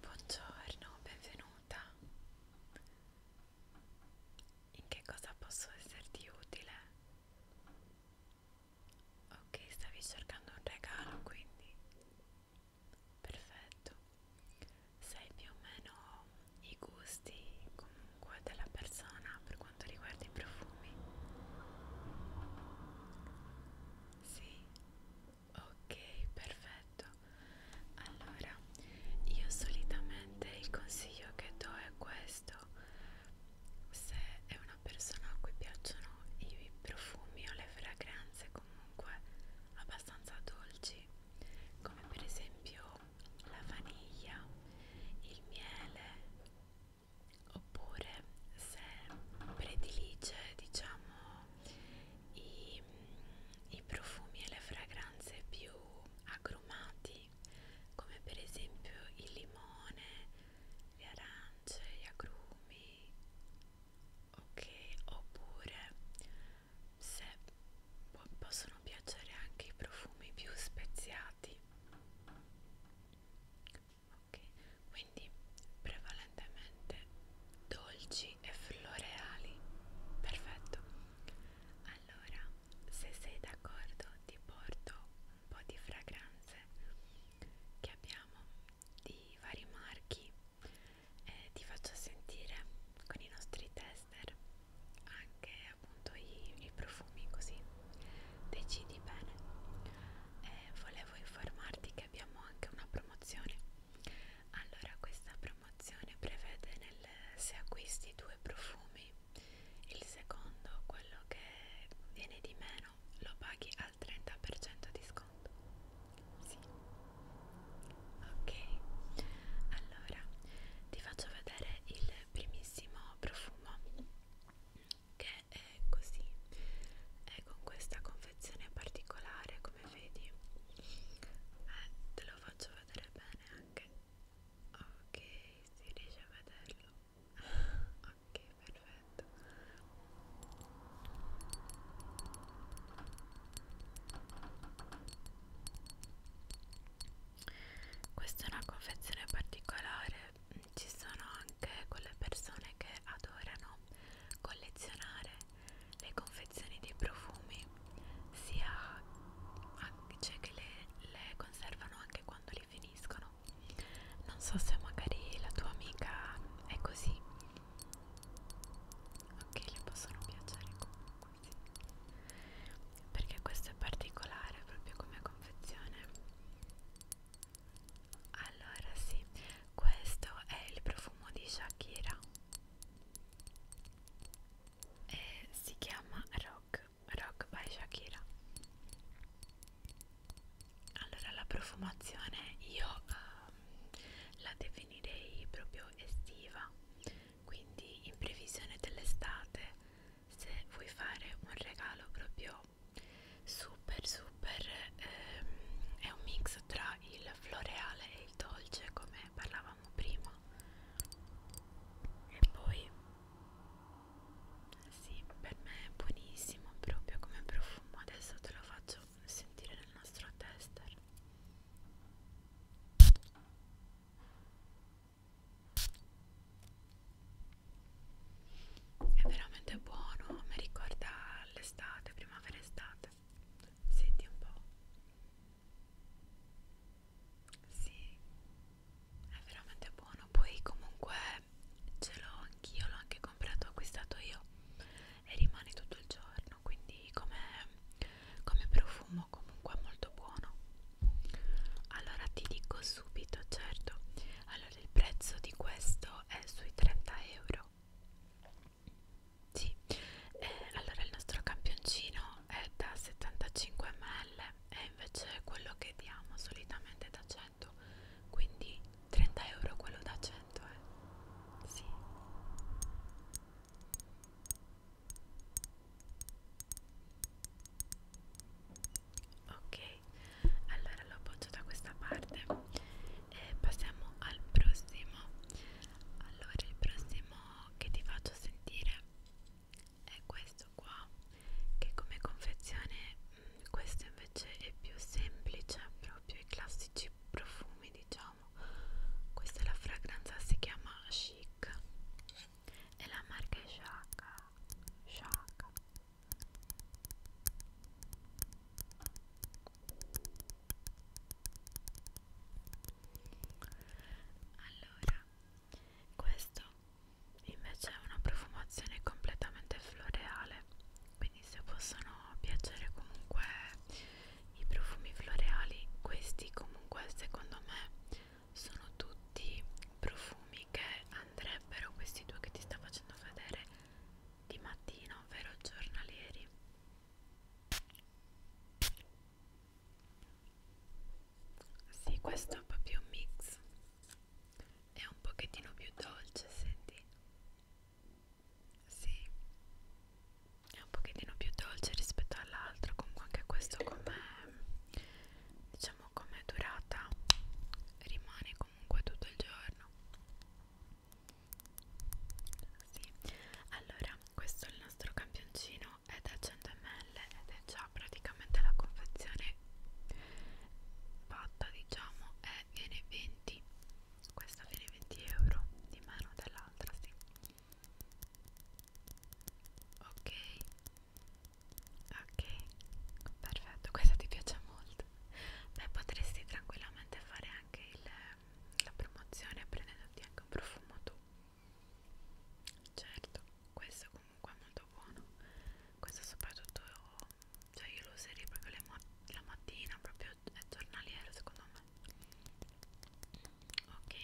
Buongiorno, benvenuta. In che cosa posso esserti utile? Ok, stavi cercando un regalo, quindi perfetto. Sai più o meno i gusti comunque della persona per quanto riguarda i profumi? Sì ok perfetto allora io solitamente il consiglio che do è questo se è una persona a cui piacciono i profumi o le fragranze comunque abbastanza dolci come per esempio la vaniglia il miele oppure se predilige diciamo i, mm, i profumi e le fragranze più agrumati come per esempio il limone, le arance, gli agrumi ok oppure se po possono piacere anche i profumi più speziati ok quindi prevalentemente dolci e floreali perfetto allora se sei d'accordo ti porto un po' di fragranze che abbiamo di vari marchi e ti faccio sentire con i nostri tester anche appunto i, i profumi così decidi bene e volevo informarti che perché abbiamo anche una promozione allora questa promozione prevede nel, se acquisti due profumi il secondo quello che viene di meno lo paghi al 30% di sconto sì ok allora ti faccio vedere il primissimo profumo che è così è con questa confezione particolare come vedi eh, te lo faccio vedere bene anche ok si riesce a vederlo ok perfetto questa è una confezione particolare ci sono anche quelle persone che adorano collezionare le confezioni dei profumi sia c'è cioè che le, le conservano anche quando li finiscono non so se magari la tua amica è così ok le possono piacere comunque sì. perché questo è particolare proprio come confezione allora sì, questo è il profumo di Shakira e si chiama Rock, Rock by Shakira. Allora la profumazione io um, la definirei proprio estiva, quindi in previsione dell'estate se vuoi fare un regalo proprio però super super ehm, è un mix tra il floreale e il dolce come parlavamo prima e poi sì per me è buonissimo proprio come profumo adesso te lo faccio sentire nel nostro tester è veramente buono mi ricorda l'estate primavera estate senti un po' sì è veramente buono poi comunque ce l'ho anch'io l'ho anche comprato acquistato io e rimane tutto il giorno quindi come come profumo comunque molto buono allora ti dico subito certo allora il prezzo di questo è sui 30 euro. Sì, eh, allora il nostro campioncino è da 75 ml e invece quello che diamo solitamente è da 100, quindi 30 euro quello da 100 eh. Sì. Ok, allora lo appoggio da questa parte e passiamo al prossimo allora il prossimo che ti faccio sentire è questo qua che come confezione mh, mm, questo invece è più semplice proprio i classici profumi diciamo questa è la fragranza si chiama chic e la marca è Shaka Shaka allora, questo invece è una profumazione completamente floreale, quindi se possono piacere comunque i profumi floreali, questi comunque secondo me sono tutti profumi che andrebbero questi due che ti sta facendo vedere di mattino, ovvero giornalieri. Sì, questo è proprio un mix. È un pochettino più dolce, senti? Sì. È un pochettino più dolce rispetto all'altro, comunque anche questo come diciamo come durata rimane comunque comunque tutto il giorno sì. allora questo è il nostro campioncino è da 100 ml ed è già praticamente la confezione fatta diciamo e viene 20 questa viene 20 euro di meno dell'altra sì ok Ok, perfetto, questa ti piace molto. Beh, potresti tranquillamente fare anche il, la promozione prendendoti anche un profumo tu. Certo, questo comunque è molto buono. Questo soprattutto, cioè io lo userei proprio le mat la mattina, proprio è giornaliero secondo me. Ok,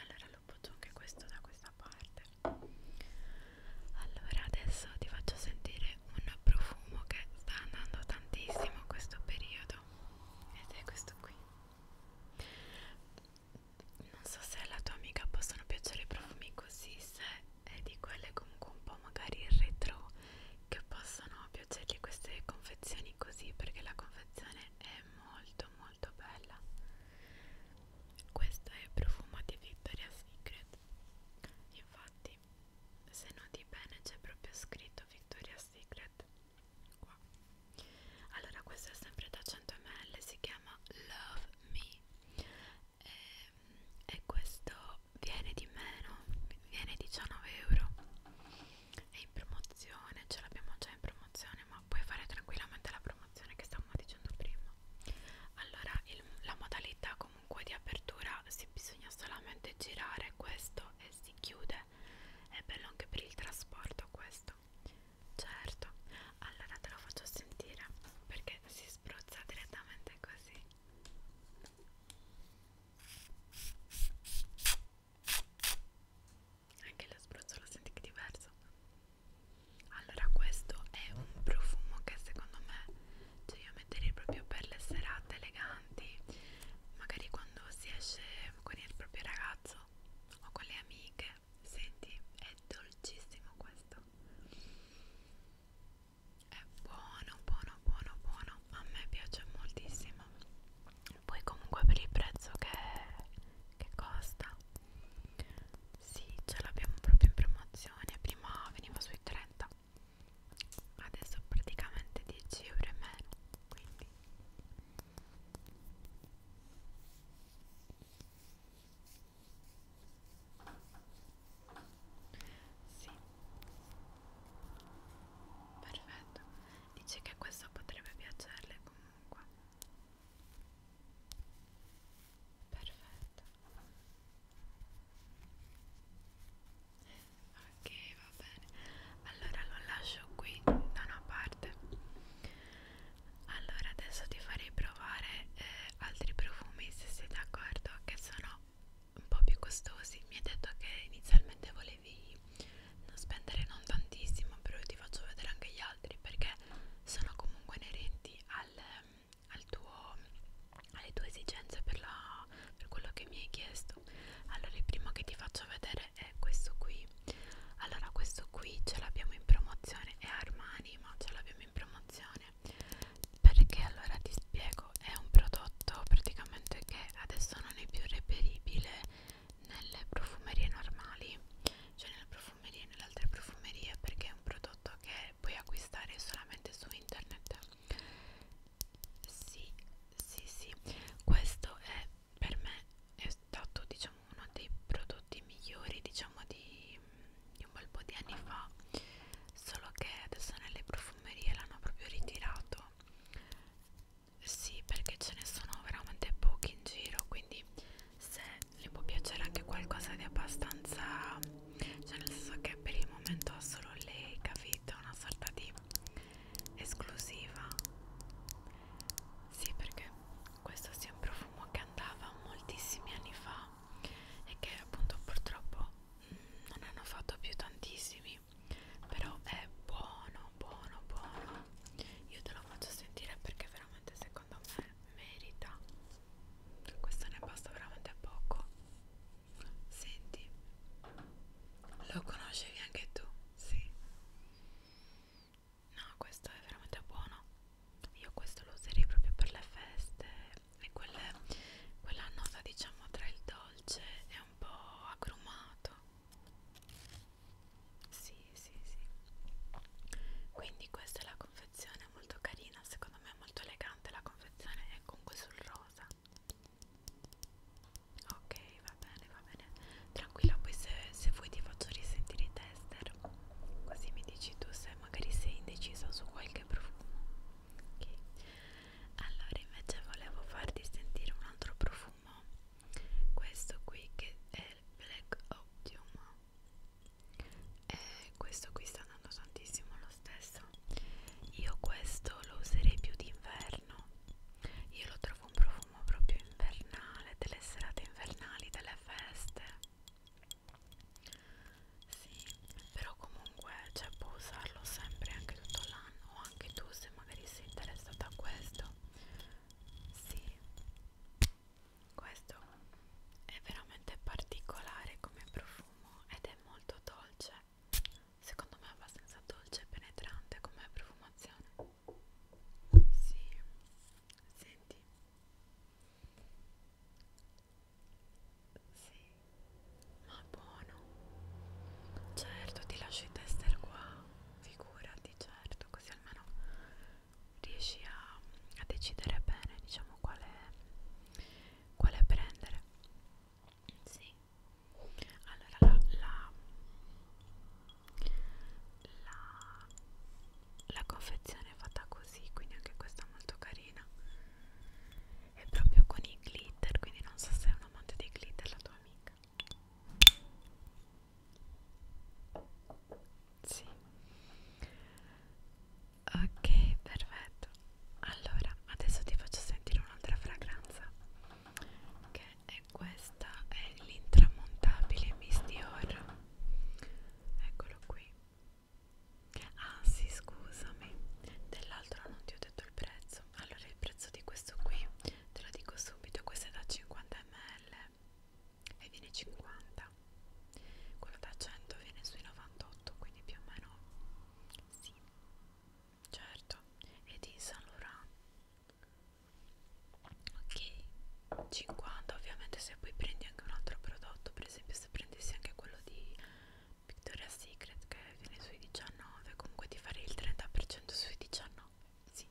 allora lo butto anche questo da questa parte allora adesso ti faccio sentire un profumo che sta andando tantissimo in questo periodo ed è questo qui non so se alla tua amica possono piacere i profumi così se è di quelle comunque un po' magari retro che possono piacergli queste confezioni così perché la confezione è molto molto bella questo è il profumo di Victoria's Secret. Infatti, se noti bene, c'è proprio scritto Victoria's Secret qua. Allora, questo è sempre da 100 ml, si chiama Love Me. E, ehm, e questo viene di meno, viene 19 euro. È in promozione, ce l'abbiamo già in promozione, ma puoi fare tranquillamente la promozione informazione che stavamo dicendo prima allora il, la modalità comunque di apertura si bisogna solamente girare questo e si chiude è bello anche per il trasporto questo certo allora te lo faccio sentire perché si spruzza direttamente così anche lo spruzzo lo senti che è diverso allora questo è un profumo che secondo me cioè io metterei proprio per le serate eleganti, magari quando si esce con il proprio ragazzo o con le amiche. Senti, è dolcissimo questo. È buono, buono, buono, buono. A me piace moltissimo. Poi comunque per il prezzo che, che costa sì, ce l'abbiamo proprio in promozione. Prima veniva sui 30, adesso praticamente 10 euro in meno. Quindi sì, perfetto. Dice che questo potrebbe piacerle comunque perfetto ok va bene allora lo lascio qui da una parte allora adesso ti farei provare eh, altri profumi se sei d'accordo che sono un po' più costosi mi hai detto che inizialmente volevi non spendere non tantissimo però io ti faccio vedere anche gli altri perché sono comunque inerenti al, al tuo, alle tue esigenze per, la, per quello che mi hai chiesto allora il primo che ti faccio vedere è questo qui allora questo qui ce l'abbiamo in promozione è Armani ma ce l'abbiamo in promozione perché allora ti spiego è un prodotto praticamente che adesso non è più reperibile nelle profumerie normali cioè nelle profumerie e nelle altre profumerie perché è un prodotto che puoi acquistare solamente su internet sì sì sì questo è per me è stato diciamo uno dei prodotti migliori diciamo di, di un bel po' di anni fa solo che adesso nelle profumerie l'hanno proprio ritirato sì perché ce ne sono veramente pochi in giro quindi se le può piacere anche qualcosa di abbastanza cioè nel senso che per il momento ha solo lei capito una sorta di esclusiva sì perché questo sia un profumo che andava moltissimi anni fa e che appunto purtroppo mm, non hanno fatto più tantissimi però è buono buono buono io te lo faccio sentire perché veramente secondo me merita questo ne basta veramente poco senti lo conoscevi anche tu sì no questo è veramente buono io questo lo userei proprio per le feste e quelle, quella nota diciamo tra il dolce e un po' agrumato sì, sì, sì. Quindi questa è la confezione, molto carina, secondo me è molto elegante la confezione, è comunque sul rosa. Ok, va bene, va bene. Tranquilla, poi se, se vuoi ti faccio risentire i tester, così mi dici tu se magari sei indecisa su qualche profumo. Ok. Allora, invece volevo farti sentire un altro profumo. Questo qui che è del Black Optium e questo qui sta andando tantissimo lo stesso io questo lo userei più d'inverno io lo trovo un profumo proprio invernale delle serate invernali delle feste sì però comunque cioè, puoi usarlo sempre anche tutto l'anno o anche tu se magari sei interessata a questo sì, questo è veramente particolare come profumo ed è molto dolce. Secondo me è abbastanza dolce e penetrante come profumazione. Sì, senti. Sì, ma buono. Certo, ti lascio i tester qua figurati certo così almeno riesci a, a decidere bene diciamo quale quale prendere sì allora la la, la la confezione è fatta così quindi anche questa è molto carina è proprio con i glitter quindi non so se è un amante dei glitter la tua amica sì. Ok, perfetto. Allora, adesso ti faccio sentire un'altra fragranza. Che è questa, è l'intramontabile Miss Dior. Eccolo qui. Ah sì, scusami. Dell'altro non ti ho detto il prezzo prezzo allora il prezzo di questo qui te lo dico subito questo è da 50 ml e viene 50 quello da 100 viene sui 98 quindi più o meno sì certo e di San Laurent ok 50 ovviamente se poi prendi anche un altro prodotto per esempio se prendessi anche quello di Victoria's Secret che viene sui 19 comunque ti farei il 30% sui 19 sì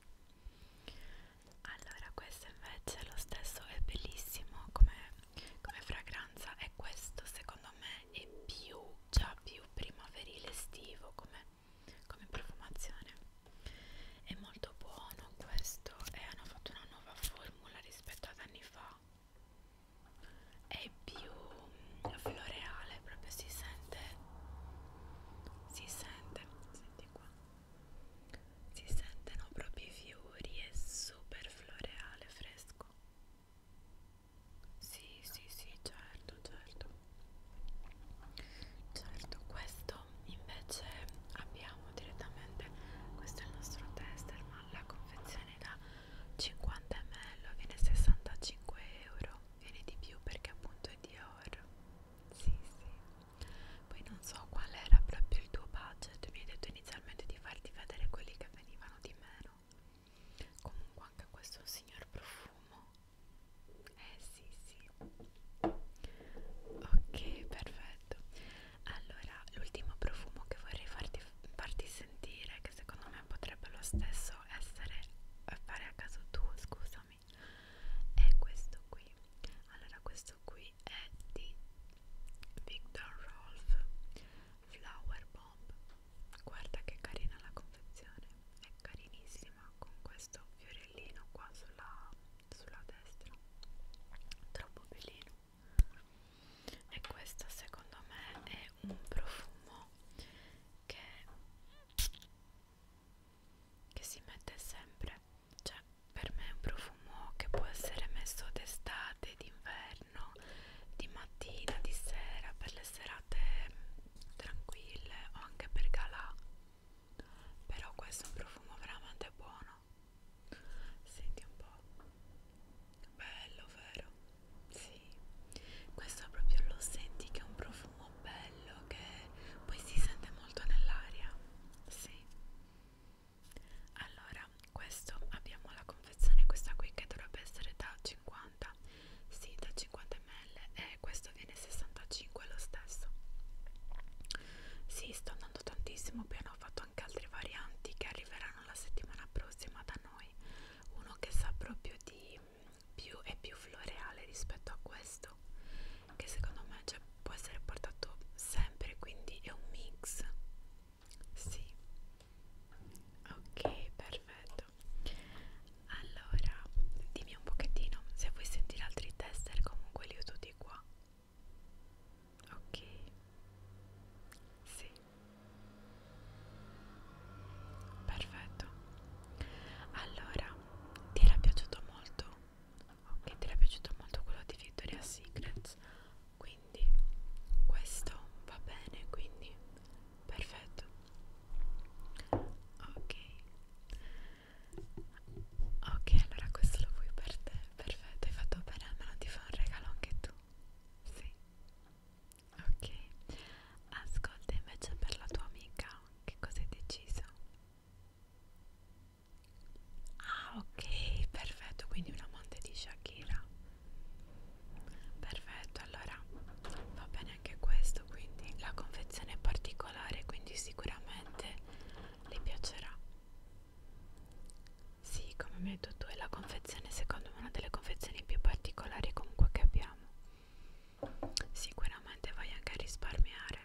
allora questo invece è lo stesso è bellissimo come, come fragranza e questo secondo me è più già più primaverile estivo come, come profumazione è molto buono questo e hanno fatto una nuova formula rispetto ad anni fa è più floreale, proprio si sente, si sente, senti qua, si sentono proprio i fiori, è super floreale, fresco. Sì, sì, sì, certo, certo. Certo, questo invece abbiamo direttamente, questo è il nostro tester, ma la confezione da 50 ml viene 65 euro viene di più perché appunto è Dior sì sì poi non so qual era proprio il tuo budget mi hai detto inizialmente di farti vedere quelli che venivano di meno comunque anche questo è un signor profumo eh sì sì ok perfetto allora l'ultimo profumo che vorrei farti, farti sentire che secondo me potrebbe lo stesso essere eh, fare a caso tuo, scusami, è questo qui. Allora, questo qui è di Victor Rolf Flower Bomb. Guarda che carina la confezione, è carinissima con questo fiorellino qua sulla, sulla destra, troppo bellino. E questo secondo me è un profumo che che si mette sempre cioè per me è un profumo che può essere messo d'estate d'inverno di mattina di sera per le serate mm, tranquille o anche per galà però questo è un profumo veramente buono senti un po' bello vero sì, questo proprio lo senti che è un profumo bello che poi si sente molto nell'aria. Sì. Allora, questo abbiamo la confezione questa qui che dovrebbe essere da 50. Sì, da 50 ml e questo viene 65 lo stesso. Sì, sto andando tantissimo, poi hanno fatto anche altre varianti che arriveranno la settimana prossima da noi. Uno che sa proprio di più, è più floreale rispetto a questo che secondo me cioè, può essere portato sempre quindi è un mix sì ok perfetto allora dimmi un pochettino se vuoi sentire altri tester comunque li ho tutti qua ok sì Perfetto. Allora, ti era piaciuto molto? Ok, ti era piaciuto molto quello di Victoria's Secret? Quindi questo va bene, quindi perfetto. Ok. Ok, allora questo lo vuoi per te. Perfetto, hai fatto bene, almeno ti fa un regalo anche tu. Sì. Ok, ascolta invece per la tua amica, che cosa hai deciso? Ah ok, perfetto, quindi un amante di Shakira Perfetto, allora va bene anche questo, quindi la confezione è particolare, quindi sicuramente le piacerà Sì, come mi hai detto tu, è la confezione secondo secondo me una delle confezioni più particolari comunque che abbiamo sicuramente vai anche a risparmiare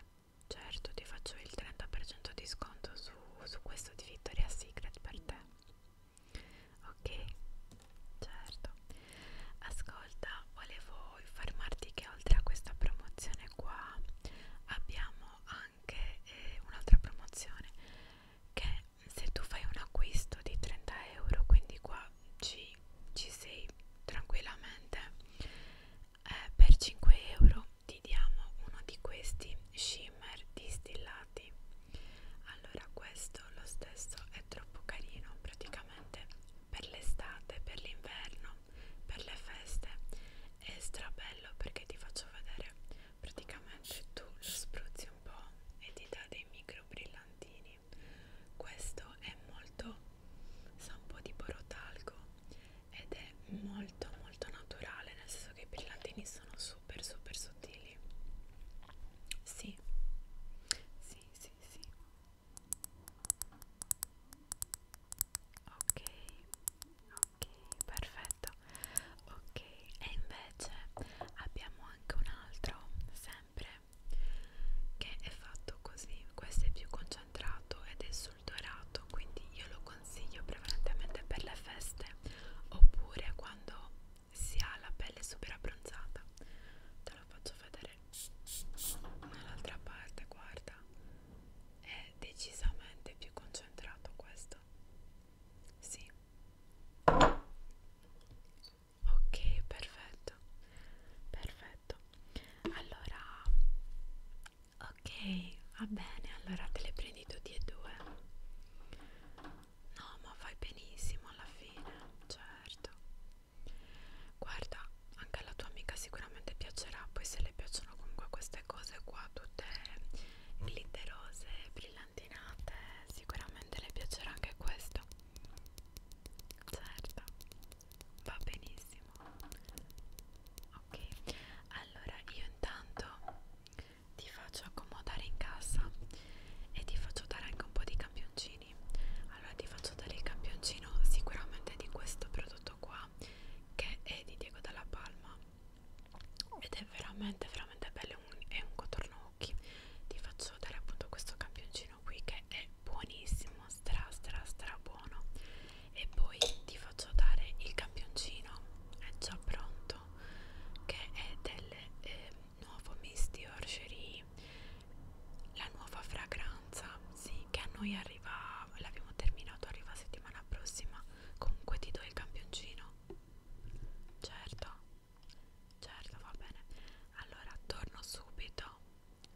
certo ti faccio il 30% di sconto su, su questo di Victoria's Secret per te ok certo ascolta volevo informarti che oltre a questa promozione qua abbiamo anche eh, un'altra promozione che se tu fai un acquisto di 30 euro quindi qua ci, ci sei tranquillamente eh, per 5 euro ti diamo uno di questi shimmer distillati allora questo lo stesso è troppo carino praticamente per l'estate per l'inverno per le feste è strabello perché ti faccio vedere praticamente tu lo spruzzi un po' e ti dà dei micro brillantini questo è molto sa un po' di porotalco ed è molto molto naturale nel senso che i brillantini sono super super sottili sì sì sì sì ok ok perfetto ok e invece abbiamo anche un altro sempre che è fatto così questo è più concentrato ed è sul dorato quindi io lo consiglio prevalentemente per le feste oppure quando si ha la pelle super abbronzata te lo faccio vedere dall'altra parte guarda è decisamente più concentrato questo sì ok perfetto perfetto allora ok va bene allora te le prendi tutti e due no ma fai benissimo alla fine certo guarda anche alla tua amica sicuramente piacerà poi se le piacciono comunque queste cose qua tutte glitterose brillanti gelatinate sicuramente le piacerà anche questo certo va benissimo ok allora io intanto ti faccio accomodare in casa e ti faccio dare anche un po' di campioncini allora ti faccio dare il campioncino sicuramente di questo prodotto qua che è di Diego Dalla Palma ed è veramente veramente bello è un contorno occhi ti faccio vedere appunto questo campioncino qui che è buonissimo stra stra stra buono e poi ti faccio dare il campioncino è già pronto che è del eh, nuovo Misty Orgerie la nuova fragranza sì che a noi arriva l'abbiamo terminato arriva settimana prossima comunque ti do il campioncino Certo, certo, va bene. Allora torno subito.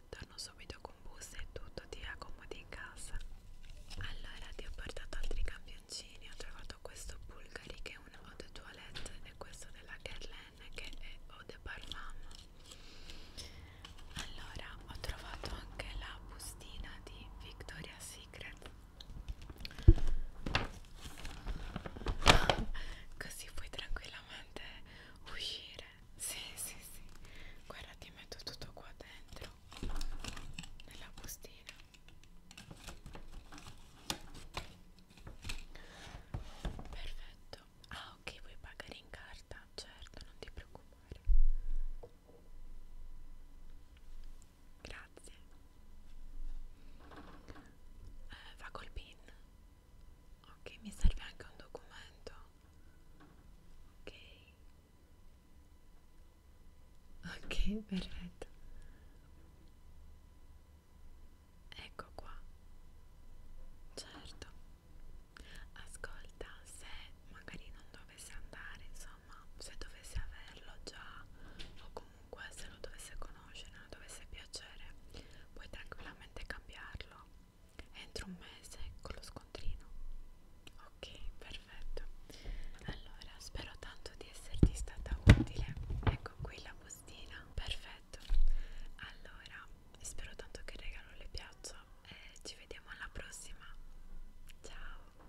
Torno subito con bus e tutto, ti accomodi in casa. Allora ti ho portato altri campioncini. Ho trovato questo Bulgari che è un eau de toilette e questo della Guerlain che è eau de parfum. Allora ho trovato anche la bustina di Victoria's Secret Così puoi tranquillamente uscire. Sì, sì, sì. Guarda, ti metto tutto qua dentro. Nella bustina. Perfetto. Ah, ok, vuoi pagare in carta? Certo, non ti preoccupare. Grazie. Eh, va col pin. Ok, mi serve anche un documento. Ok. Ok, perfetto. Ecco qua. Certo. Ascolta, se magari non dovesse andare, insomma mamma se dovesse averlo già o comunque se lo dovesse conoscere, lo dovesse piacere, puoi tranquillamente cambiarlo entro un mese con lo scontrino. Ok, perfetto. Allora, spero tanto di esserti stata utile. Ecco qui la bustina. Perfetto. Allora, spero tanto che il regalo le piaccia e ci vediamo alla prossima. Ciao.